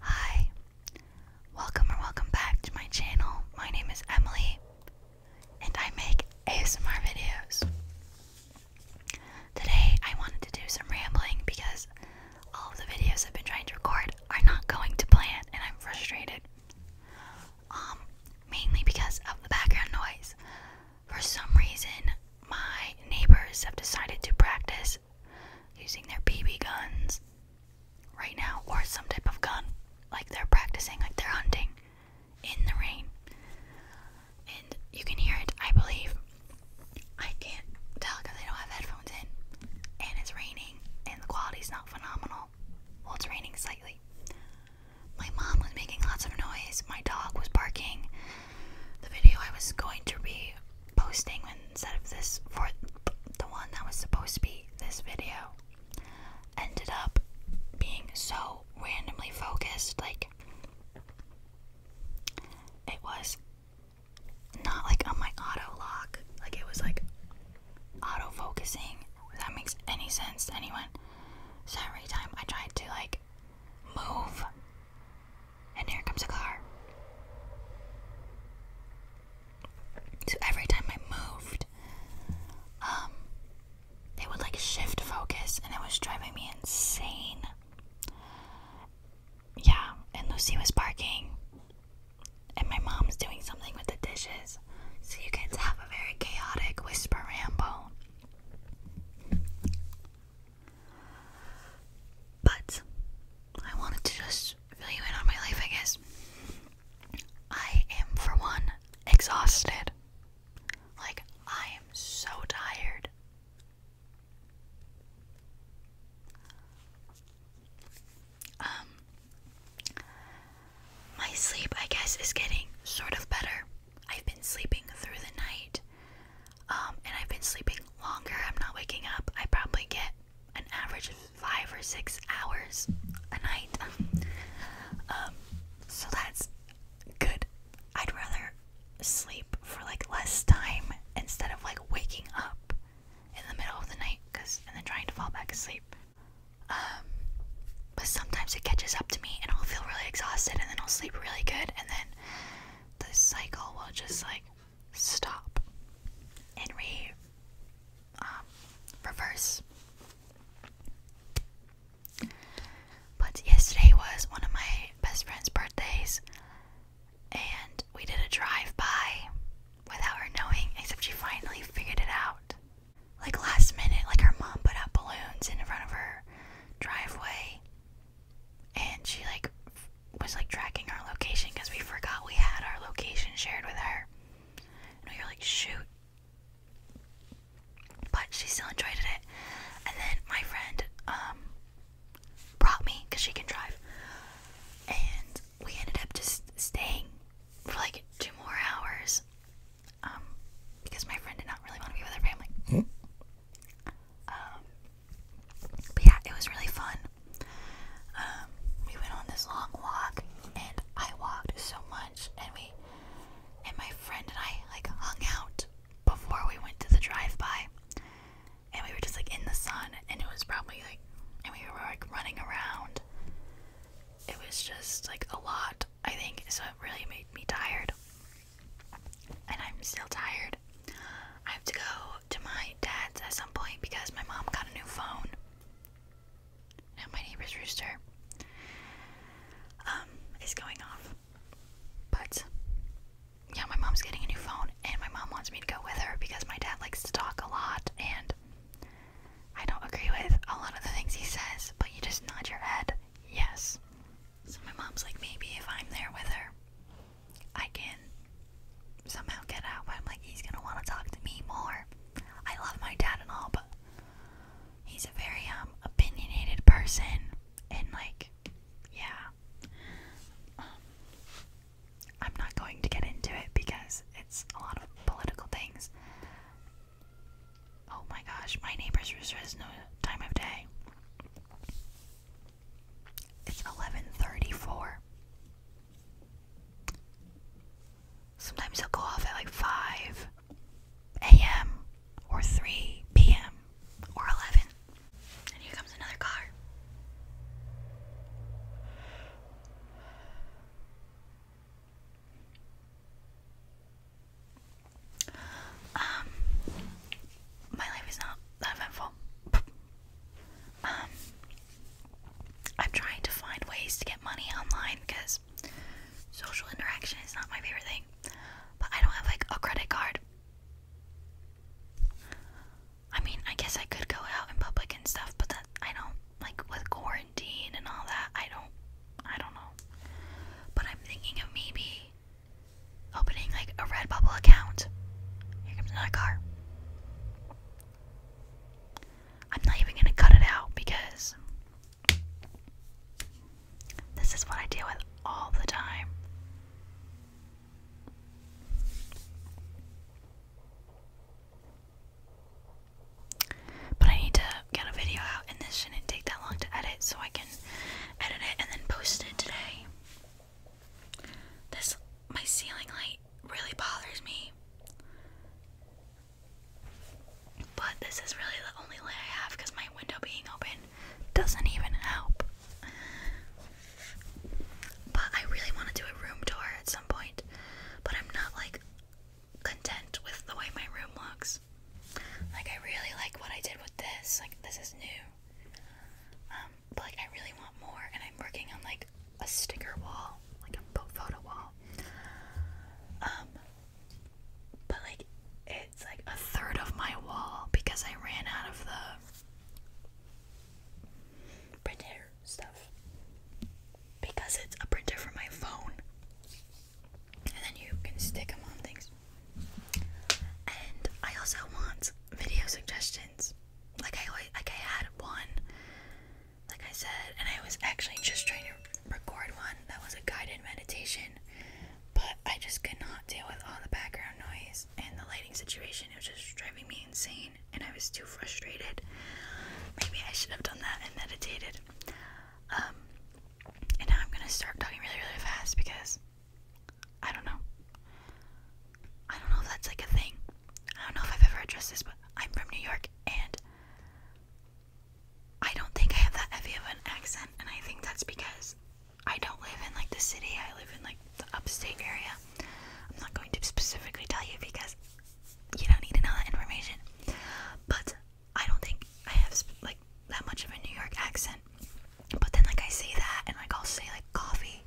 Hi, welcome or welcome back to my channel. My name is Emily and I make ASMR videos. Today I wanted to do some rambling because all of the videos I've been trying to record are not going to plan and I'm frustrated. Um, mainly because of the background noise. For some reason, my neighbors have decided to practice using their BB guns right now, or some type of gun. Like they're practicing, like they're hunting in the rain. And you can hear it, I believe. I can't tell because I don't have headphones in. And it's raining, and the quality's not phenomenal. Well, it's raining slightly. My mom was making lots of noise, my dog was barking, the video I was going to be posting instead of this for the one that was supposed to be this video ended up being so randomly focused like it was not like on my auto lock like it was like auto focusing if that makes any sense to anyone so every time I tried to like move and here comes a car. So every time I moved, um, they would like shift focus and it was driving me insane. Yeah, and Lucy was barking. And my mom's doing something with the dishes. So you kids have a very chaotic whisper ramble. But I wanted to just fill you in on my life, I guess. I am, for one, exhausted. Like, I am so tired. Um, my sleep, I guess, is getting sort of better. I've been sleeping through the night, um, and I've been sleeping longer. I'm not waking up. I probably get an average of five or six hours a night. Um, so that's good. I'd rather sleep for like less time instead of like waking up in the middle of the night, cause and then trying to fall back asleep. Um, but sometimes it catches up to and I'll feel really exhausted and then I'll sleep really good and then the cycle will just like stop and re um, reverse. But yesterday was one of my best friend's birthdays and we did a drive by without her knowing, except she finally figured it out. Like last minute, like her mom put up balloons in front of her driveway and she like was like tracking our location because we forgot we had our location shared with her and we were like shoot but she still enjoyed it and then my friend um brought me because she can drive and we ended up just staying for like two more hours um, because my friend did not really want to be with her family. Hmm? Um, but yeah, it was really fun. Um, we went on this long walk, and I walked so much, and we, and my friend and I like hung out before we went to the drive-by, and we were just like in the sun, and it was probably like, and we were like running around. It was just like a lot, I think, so it really made me tired and I'm still tired. I have to go to my dad's at some point because my mom got a new phone. And my neighbor's rooster um is going off. But yeah, my mom's getting a new phone and my mom wants me to go with her because my dad likes to talk a lot and I don't agree with a lot of the things he says, but you just nod your head yes. So my mom's like, maybe if I'm there with her, I can somehow get out. But I'm like, he's gonna want to talk to me more. I love my dad and all, but he's a very um opinionated person, and like, yeah. Um, I'm not going to get into it because it's a lot of political things, Oh my gosh, my neighbor's rooster has no time of day. It's 11:34. Sometimes he'll go off at like 5 a.m. or 3 p.m. or 11. And here comes another car. Um, my life is not that eventful. Um, I'm trying to find ways to get money online because social interaction is not my favorite thing. But I don't have like a credit card. I mean, I guess I could go out in public and stuff, but that I don't like with quarantine and all that. I don't I don't know. But I'm thinking of maybe opening like a Redbubble account. Here comes another car. I'm not even gonna cut it out because this is what I deal with all the time. But I need to get a video out, and this shouldn't take that long to edit, so I can edit it and then post it today. This, my ceiling light really bothers me. But this is really the only light I have because my window being open doesn't even help. But I really want to do a room tour at some point. But I'm not like content with the way my room looks. Like I really like what I did with this. Like this is new. Um, but like I really want more and I'm working on like a sticker wall, like a photo wall. Um but like it's like a third of my wall because I ran out of the printer stuff. Because it's a printer for my phone and then you can stick them on things. And I also want video suggestions. Like I like I had one, like I said, and I was actually just trying to record one that was a guided meditation, but I just could not deal with all the background noise and the lighting situation. It was just driving me insane, and I was too frustrated. Maybe I should have done that and meditated. Um, and I'm gonna start talking really, really fast because I don't know. I don't know if that's like a thing. I don't know if I've ever addressed this, but I'm from New York and I don't think I have that heavy of an accent, and I think that's because I don't live in like the city, I live in like the upstate area. I'm not going to specifically tell you because you don't need to know that information. But I don't think I have like that much of a New York accent. But then, like, I say that, and like, I'll say like coffee,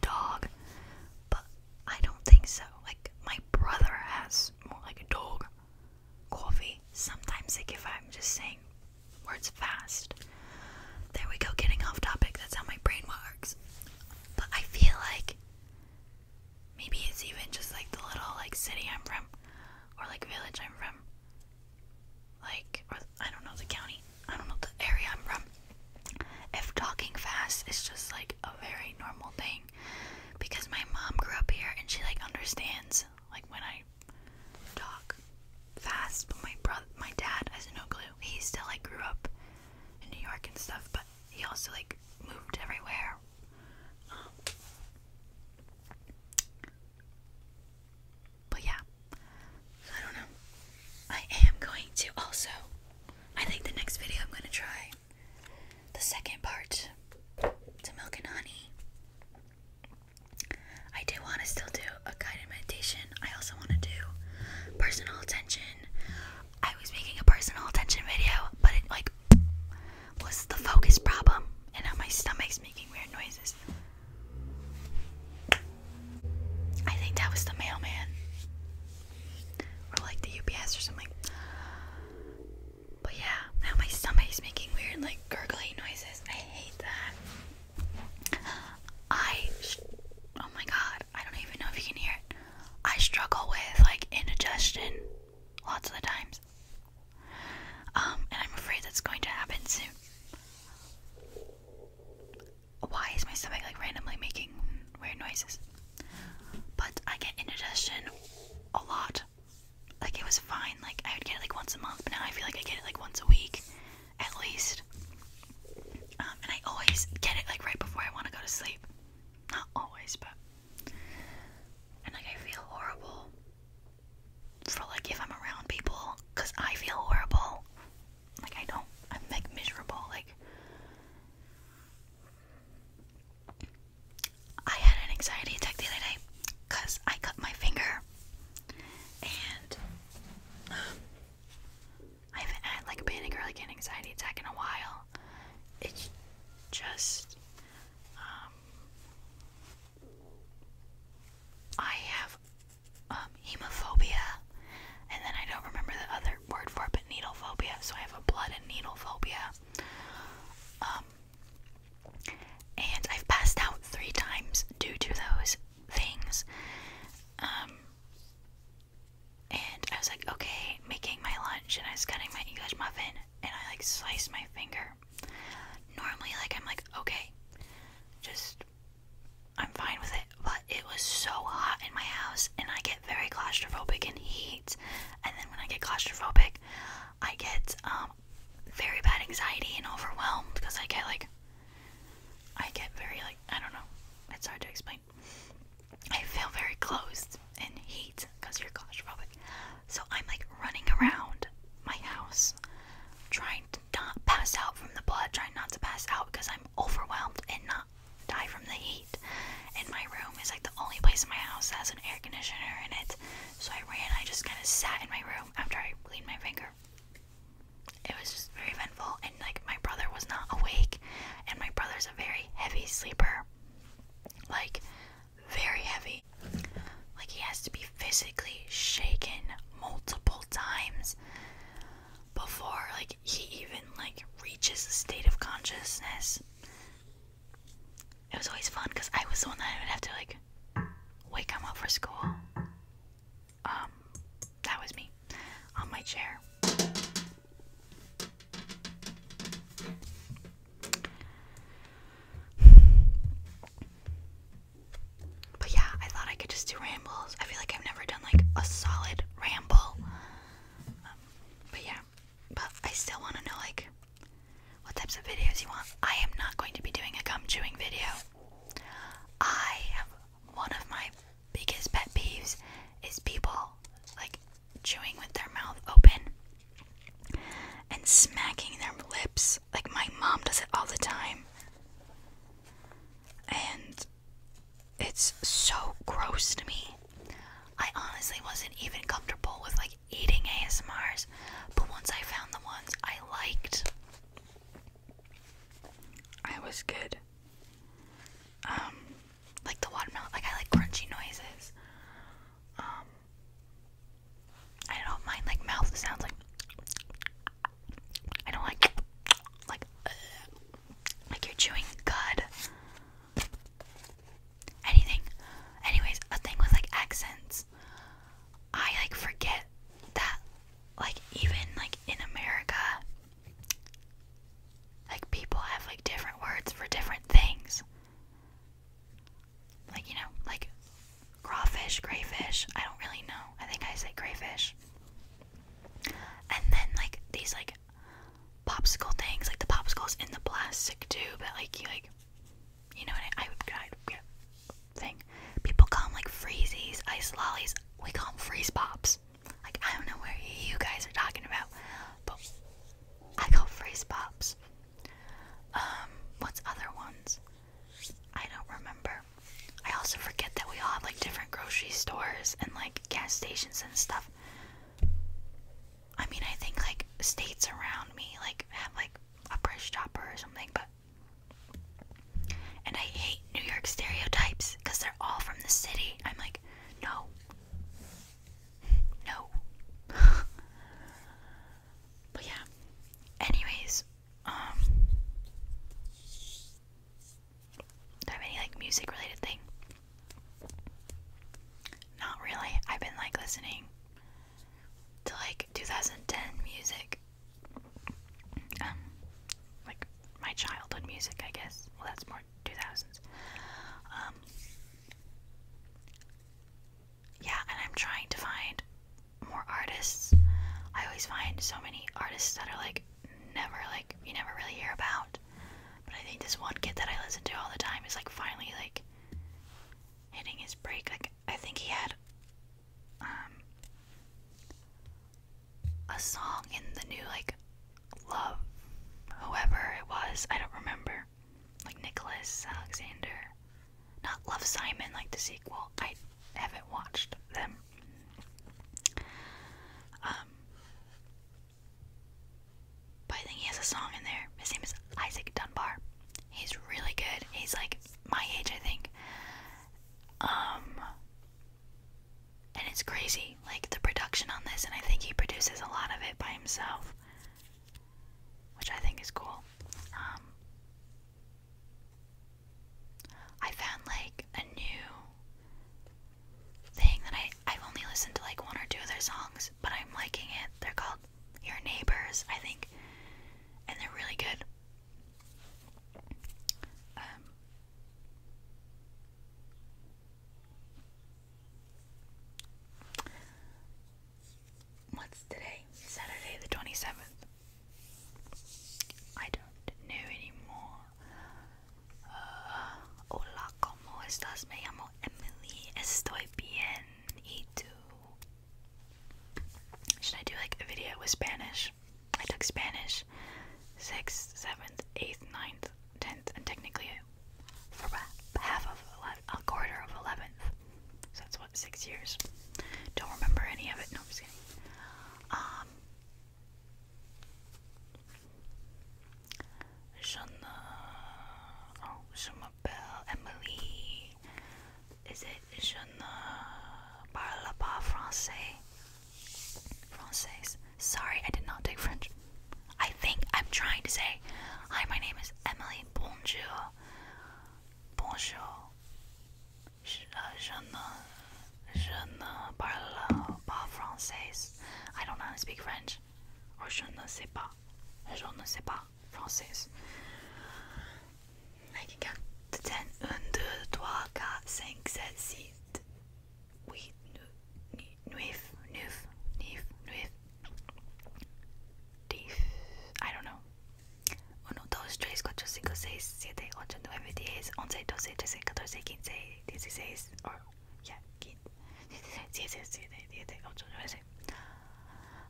dog, but I don't think so. Like, my brother has more like a dog, coffee. Sometimes, like, if I'm just saying words fast, there we go, getting off topic. That's how my brain works. But I feel like Maybe it's even just like the little like city I'm from or like village I'm from. Like or I don't know the county. I don't know the area I'm from. If talking fast is just like a very normal thing because my mom grew up here and she like understands like when I talk fast, but my brother my dad has no clue. He still like grew up in New York and stuff, but he also like moved everywhere um, but yeah, I don't know. I am going to also, I think the next video I'm going to try the second part to Milk and Honey. I do want to still do a guided meditation. I also want to do personal attention. I was making a personal attention video, but it like was the focus problem, and now my stomach's making weird noises. I think that was the mailman, or like the UPS or something. But yeah, now my stomach's making weird, like gurgly noises. I hate that. I, oh my god, I don't even know if you can hear it. I struggle with like indigestion lots of the times. Um, and I'm afraid that's going to happen soon. Why is my stomach like randomly making weird noises? But I get indigestion a lot. Like it was fine, like I would get it like once a month, but now I feel like I get it like once a week at least. Um, and I always get it like right before I want to go to sleep. Not always, but and like I feel horrible for like if I'm around people I feel horrible. Like I don't I'm like miserable like I had an anxiety attack the other day cuz I cut my finger and um, I haven't had like a panic or like an anxiety attack in a while. It's just um, I have um, hemophobia, and then I don't remember the other word for it, but needle phobia. So I have a blood and needle phobia. Um, and I've passed out three times due to those things. Um, and I was like, okay, making my lunch and I was cutting my English muffin and I like sliced my finger. Normally like I'm like, okay, just I'm fine with it, but it was so hot in my house and I get very claustrophobic in heat. And then when I get claustrophobic, I get um, very bad anxiety and overwhelmed because I get like I get very like I don't know. It's hard to explain. I feel very closed and heat because you're claustrophobic. So I'm like running around my house trying to not pass out from the blood, trying not to pass out because I'm overwhelmed and not die from the heat. And my room is like the only place in my house that has an air conditioner in it. So I ran, I just kind of sat in my room after I cleaned my finger. It was just very eventful, and like my brother was not awake, and my brother's a very heavy sleeper. Like, very heavy. Like, he has to be physically shaken multiple times before, like, he even, like, reaches a state of consciousness. It was always fun because I was the one that would have to, like, wake him up for school. Um, that was me on my chair. But yeah, I thought I could just do rambles. I feel like I've never done like a solid ramble. Um, but yeah, but I still want to know like what types of videos you want. I am not going to be doing a gum chewing video. I have one of my biggest pet peeves is people like chewing with their mouth open and smacking their lips. Like my mom does it all the time. And it's so gross to me. I honestly wasn't even comfortable with like eating ASMRs, but once I found the ones I liked, I was good. Um like the watermelon. Like I like crunchy noises. Um, I don't mind like mouth sounds. Like I don't like like uh, like you're chewing cud. Anything. Anyways, a thing with like accents. I like forget that like even like in America like people have like different words for different things. Like, you know, like crawfish, crayfish. I don't really know. I think I say crayfish. And then like these like popsicle things, like the popsicles in the plastic tube that like you like you know what I would yeah, thing. People call them like freezies, ice lollies. We call them freeze pops. Like I don't know where you guys are talking about, but I call freeze pops. Um, what's other ones? I don't remember. I also forget that we all have like different grocery stores and like gas stations and stuff. I mean, I think like states around me like have like a price chopper or something, but and I hate New York stereotypes because they're all from the city. I'm like, no. No. but yeah. Anyways, um do I have any like music related thing? Not really. I've been like listening to like 2010 music. Um like my childhood music, I guess. Well, that's more 2000s. Um, yeah, and I'm trying to find more artists. I always find so many artists that are like never, like, you never really hear about. But I think this one kid that I listen to all the time is like finally like hitting his break. Like, I think he had, um, a song in the new like love whoever it was i don't remember like nicholas alexander not love simon like the sequel i haven't watched them um but i think he has a song in there his name is isaac dunbar he's really good he's like my age i think um and it's crazy, like the production on this, and I think he produces a lot of it by himself, which I think is cool. Um, I found like a new thing that I, have only listened to like one or two of their songs, but I'm liking it. They're called Your Neighbors, I think, and they're really good. Um, What's today? Saturday the 27th. I don't know anymore. Uh, hola, ¿cómo estás? Me llamo Emily. Estoy bien. ¿Y tú? Should I do like a video with Spanish? I took Spanish 6th, 7th, 8th, ninth, 10th, and technically for half of a quarter of 11th. So that's what, six years. Don't remember any of it. No, I'm just kidding. Um, Shana, oh, Shana Bell, Emily. Is it Shana parle pas français? Française. Sorry, I did not take French. I think I'm trying to say, Hi, my name is Emily. Bonjour. Bonjour. Je, uh, ne, je ne parle pas français. I don't know how to speak French. Or je ne sais pas. Je ne sais pas français. I Huit, huit, neuf, neuf, neuf, neuf. Diez, I don't know. 1, yeah, 15,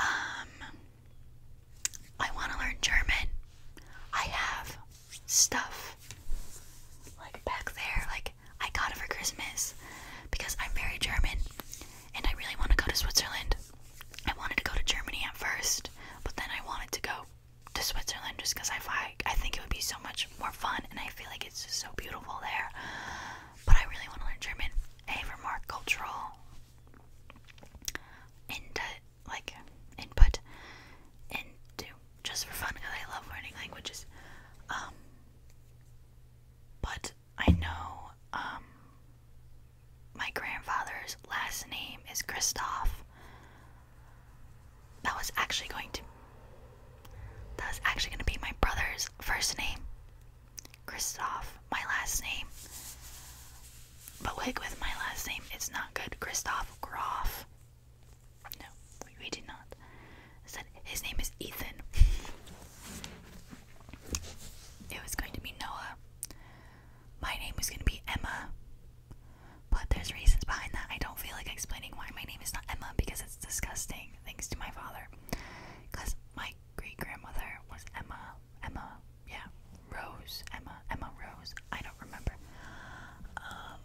Um, I want to learn German. I have stuff like back there. Like I got it for Christmas because I'm very German and I really want to go to Switzerland. I wanted to go to Germany at first, but then I wanted to go to Switzerland just because I think it would be so much more fun and I feel like it's just so beautiful there. But I really want to learn German. A for more cultural and uh, like input into just for fun because I love learning languages. Um, but I know um, my grandfather's last name is Christoph. That was actually going to that was actually going to be my brother's first name. Christoph, my last name. But wig with my last name it's not good. Christoph Groff. No, we, we did not. I said his name is Ethan. it was going to be Noah. My name was going to be Emma. But there's reasons behind that. I don't feel like explaining why my name is not Emma because it's disgusting, thanks to my father. Because my great grandmother was Emma. Emma yeah, Rose, Emma, Emma Rose. I don't remember. Um,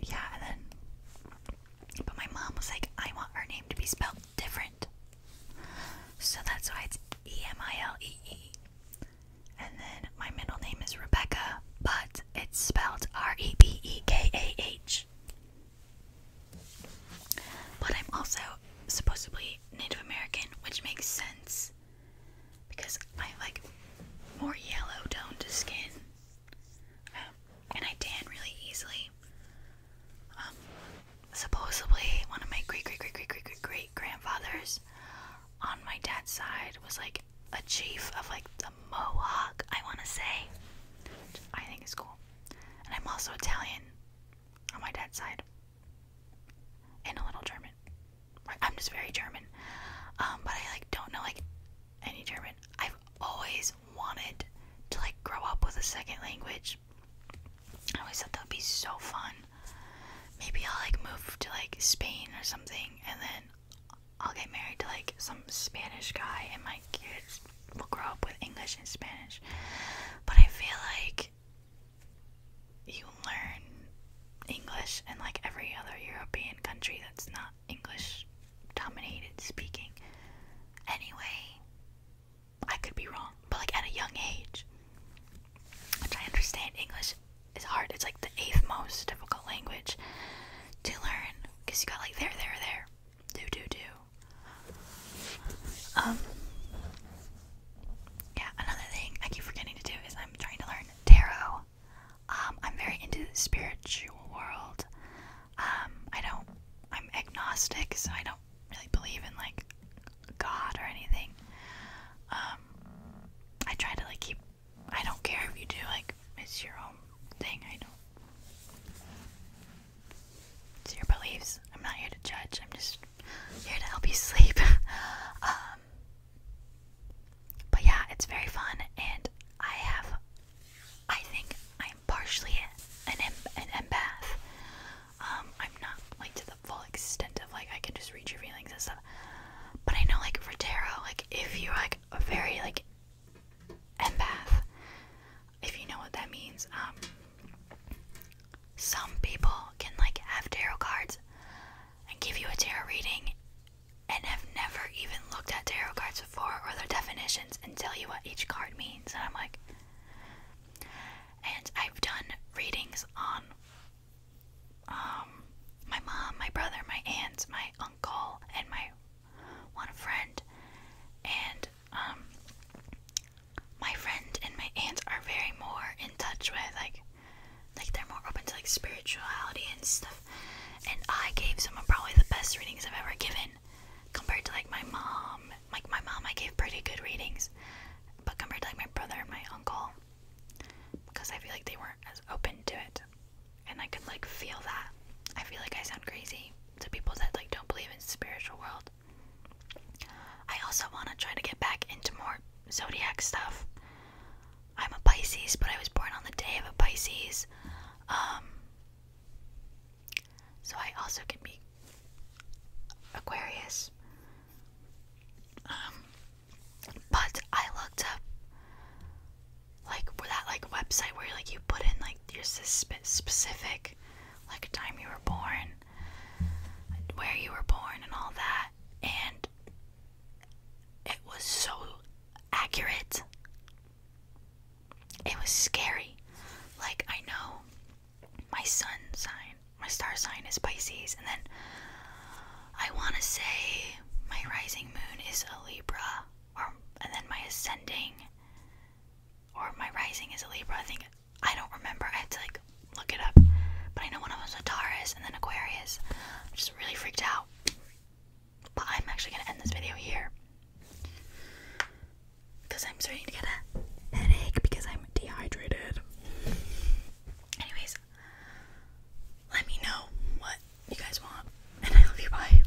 yeah, and then, but my mom was like, I want her name to be spelled different. So that's why it's E M I L E E. And then my middle name is Rebecca, but it's spelled R E B E K A H. But I'm also supposedly Native American, which makes sense because I have like more yellow toned skin, um, and I tan really easily. Um, supposedly, one of my great great great great great great great grandfathers on my dad's side was like a chief of like the Mohawk. I want to say, which I think is cool, and I'm also Italian on my dad's side and a little German. I'm just very German, um, but I like don't know like any German. I've always wanted to like grow up with a second language. I always thought that would be so fun. Maybe I'll like move to like Spain or something, and then I'll get married to like some Spanish guy, and my kids will grow up with English and Spanish. But I feel like you learn English and like every other European country that's not English dominated speaking. Anyway, I could be wrong, but like at a young age, which I understand English is hard. It's like the eighth most difficult language to learn because you got like there, there, there, do, do, do, um, yeah, another thing I keep forgetting to do is I'm trying to learn tarot. Um, I'm very into the spiritual world. Um, I don't, I'm agnostic, so I don't really believe in like God or anything. I try to like keep, I don't care if you do, like, it's your own thing. I don't, it's your beliefs. I'm not here to judge, I'm just here to help you sleep. Um, but yeah, it's very fun, and I have, I think I'm partially an em an empath. Um, I'm not like to the full extent of like I can just read your feelings and stuff, but I know like for tarot, like if you're like a very like empath, if you know what that means. Um, some people can like have tarot cards and give you a tarot reading and have never even looked at tarot cards before or their definitions and tell you what each card means. And I'm like, and I've done readings on um, my mom, my brother, my aunt, my uncle, and my one friend, and um, my friend and my aunt are very more in touch with like like they're more open to like spirituality and stuff. And I gave someone probably the best readings I've ever given compared to like my mom. Like my mom I gave pretty good readings. But compared to like my brother and my uncle because I feel like they weren't as open to it. And I could like feel that. I feel like I sound crazy to people that like don't believe in spiritual world. I also want to try to get back into more zodiac stuff. I'm a Pisces, but I was born on the day of a Pisces. Um, so I also can be Aquarius. Um, but I looked up like that like website where like you put in like like your specific, like time you were born, where you were born, and all that. And it was so accurate. It was scary. Like, I know my sun sign, my star sign is Pisces, and then I want to say my rising moon is a Libra, or and then my ascending, or my rising is a Libra. I think I don't remember. I had to like look it up. But I know one of them was Taurus and then Aquarius. I just really freaked out. But I'm actually gonna end this video here. Because I'm starting to get a headache because I'm dehydrated. Anyways, let me know what you guys want. And I love you. Bye.